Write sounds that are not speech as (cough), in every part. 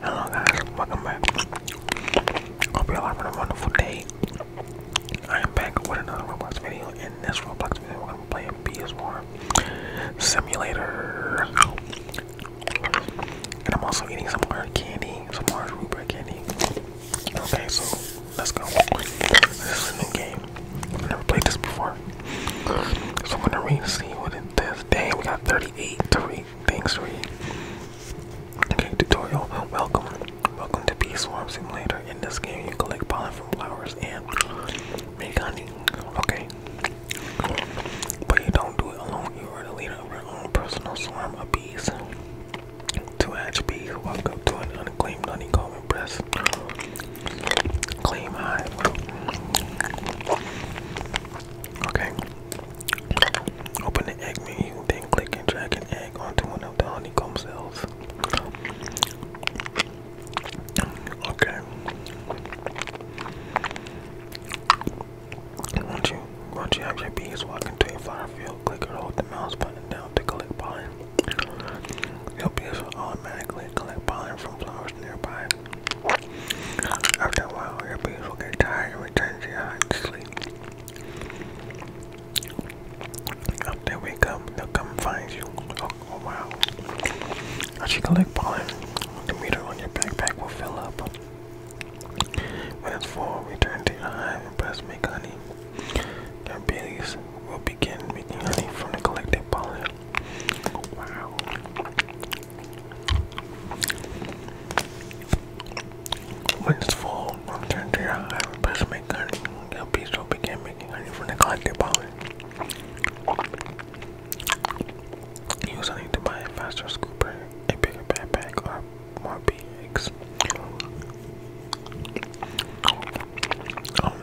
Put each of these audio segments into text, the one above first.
Hello guys, welcome back. Hope you all having a wonderful day. I am back with another Roblox video. In this Roblox video, we're gonna be playing PS4 Simulator. And I'm also eating some hard candy, some hard Rupert candy. Okay, so let's go. This is a new game. never played this before. So I'm gonna see what it is. Dang, we got 30 28 Tariq, thanks Tariq. Okay, tutorial. Welcome. Welcome to Bee Swarm Simulator. In this game, you collect pollen from flowers and make honey. Okay. But you don't do it alone. You are the leader of your own personal swarm of bees. Two hatch bees walk up to an unclaimed honeycomb and press claim hive. Okay. Open the egg menu, then click and drag an egg onto one of the honeycomb cells. Okay. Once you once you have your bees walk into a flower field, click or hold the mouse button down to collect pollen. Your bees will automatically collect pollen from flowers nearby. After a while, your bees will get tired and return to your hive to sleep. After they wake up, they'll come find you. Oh, oh wow. As you collect pollen, the meter on your backpack will fill up. When it's full, return to your hive and press make honey. Your bees will begin making honey from the collected pollen. wow. When it's full, return to your hive and to make honey. Your bees will begin making honey from the collected pollen. Use honey to buy a faster scooper, a bigger backpack, or more bee eggs. Um,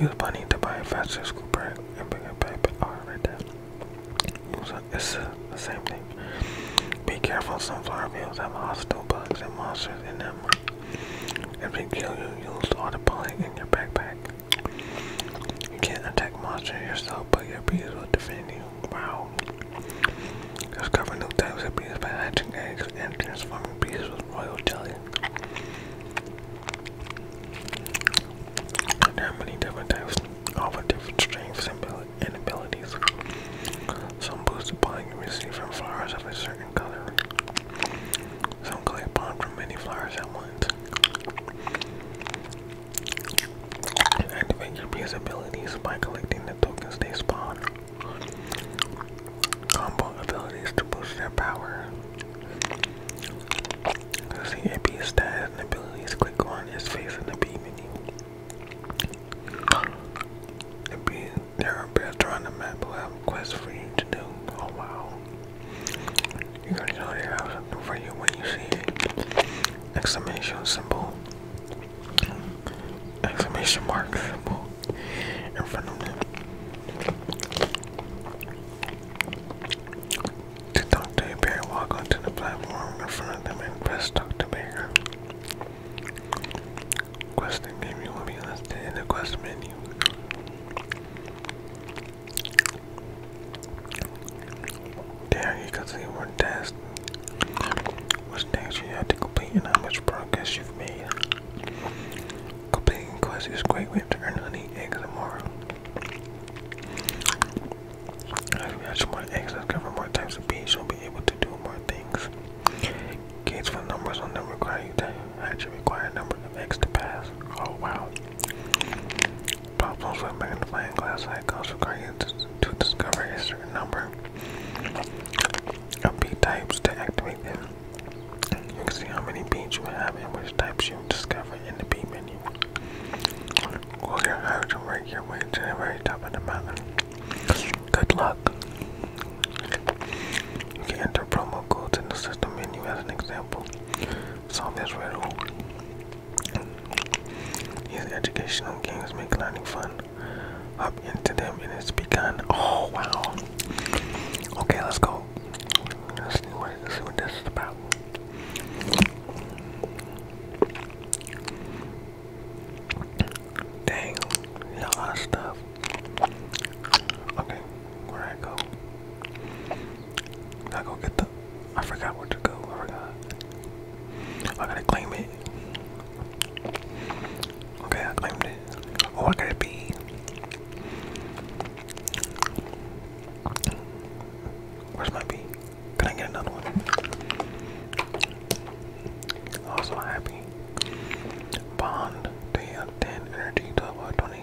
use bunny to buy a faster scooper, and bring it back. all right, there. It's the same thing. Be careful, Some sunflower fields have hostile bugs and monsters in them. If they kill you, use all the pollen in your backpack. You can't attack monsters yourself, but your bees will defend you. Wow. Discover new types of bees by hatching eggs and transforming bees with royal jelly. And how many different types offer different strengths and abilities? Some boost the power you receive from flowers of a certain color. Some collect bomb from many flowers at once. Activate your B's abilities by collecting the tokens they spawn. Combo abilities to boost their power. See AP status and abilities. Click on his face in the B menu. there are better on the map will have quests for you to do. Oh wow. You're gonna know they have something for you when you see Exclamation symbol. Exclamation mark symbol in front of them. Did Dr. Apier walk onto the platform in front of them and press Dr. Baker? Question menu will be listed in the quest menu. There you can see what tasks, which things you have to complete, and how much progress you've made. Completing quests is a great way to earn honey, eggs, and I we add more eggs, discover more types of bees, you'll be able to do more things. Gates for numbers will never require you to actually require a number of eggs to pass. Oh wow. Problems with magnifying glass I require you to, to discover a certain number of bee types to activate them. You can see how many bees you have and which types you discover in the bee menu. Walk your heart and work your way to the very the mountain. Good luck. You can enter promo codes in the system menu as an example. Solve this riddle. These educational games make learning fun. Up into them and it's begun. Oh wow. Okay, let's go. let's see what this is about. Dang, there's a stuff. Okay, where I go? I go get the. I forgot where to go. I forgot. I gotta claim it. Okay, I claimed it. Oh, I gotta be. Where's my bee? Can I get another one? Also oh, happy. Bond. They have 10 energy to 20.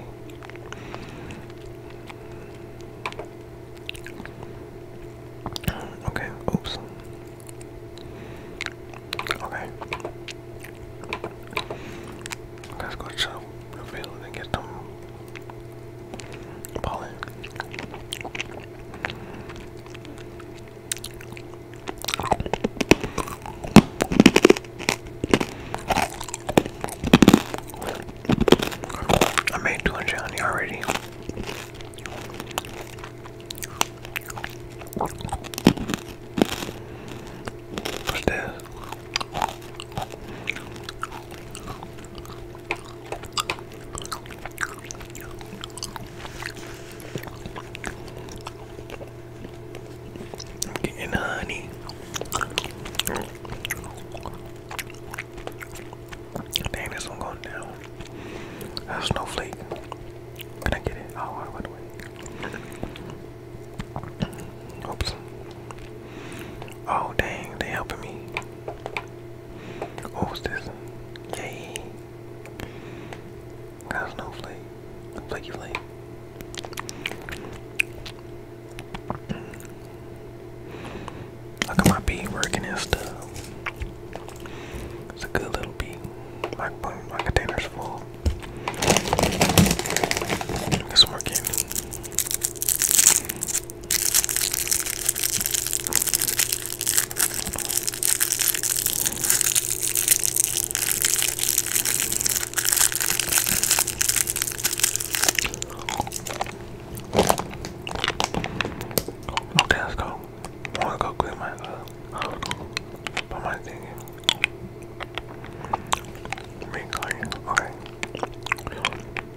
Okay, oops. Okay. Let's go to the and get some Ballin. I made 200 already. What's this? I'm getting honey. Dang, this one going down. That's snowflake. Can I get it? Oh, I went away. Oops. Oh dang, they are helping me. What was this? Yay. Got a snowflake. A flaky flake. How come my bee working and stuff? It's a good little bee. my container's full. It's working. Okay, let's go. wanna go clean my uh but my thing me clean. Okay.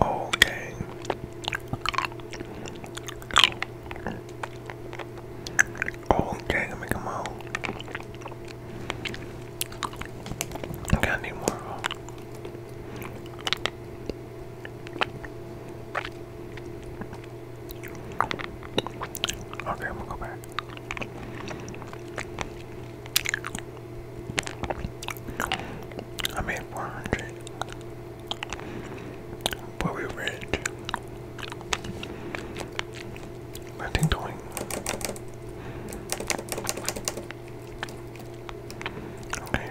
Okay. Okay, let me come out. I need more. Okay, I'm gonna go back. I made 400. But we rich. I think doing. Okay.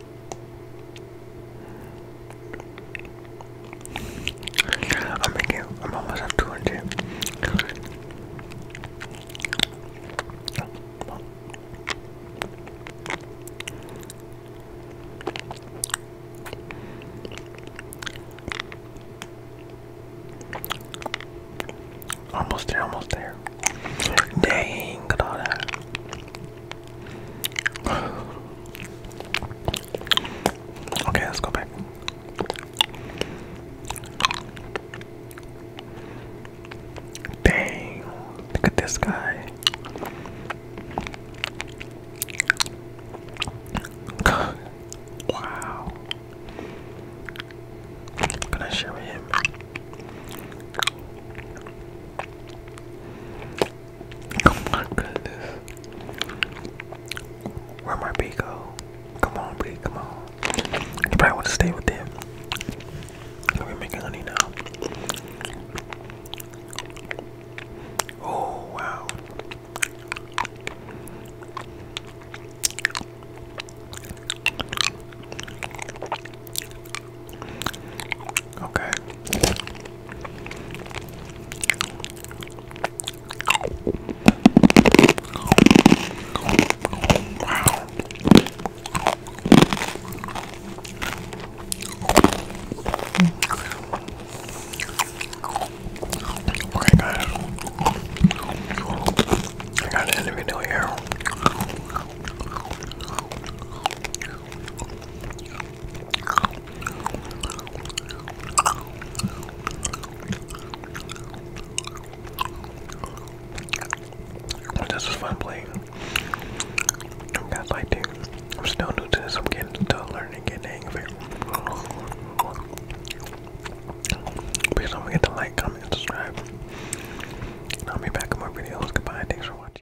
I'm almost at 200. Almost there, almost there. Dang, got all that. Okay, let's go back. Dang, look at this guy. (laughs) wow. can I share with him? Where my bee go? Come on, bee, come on. You probably want to stay with them. We're making honey now. Oh wow. Okay. Wow. Okay guys, I gotta end video here. This is fun playing. I'm not lighting. I'm still new to this. I'm getting still learning, getting the hang of it. Please don't forget to like, comment, subscribe. I'll be back in more videos. Goodbye. Thanks for watching.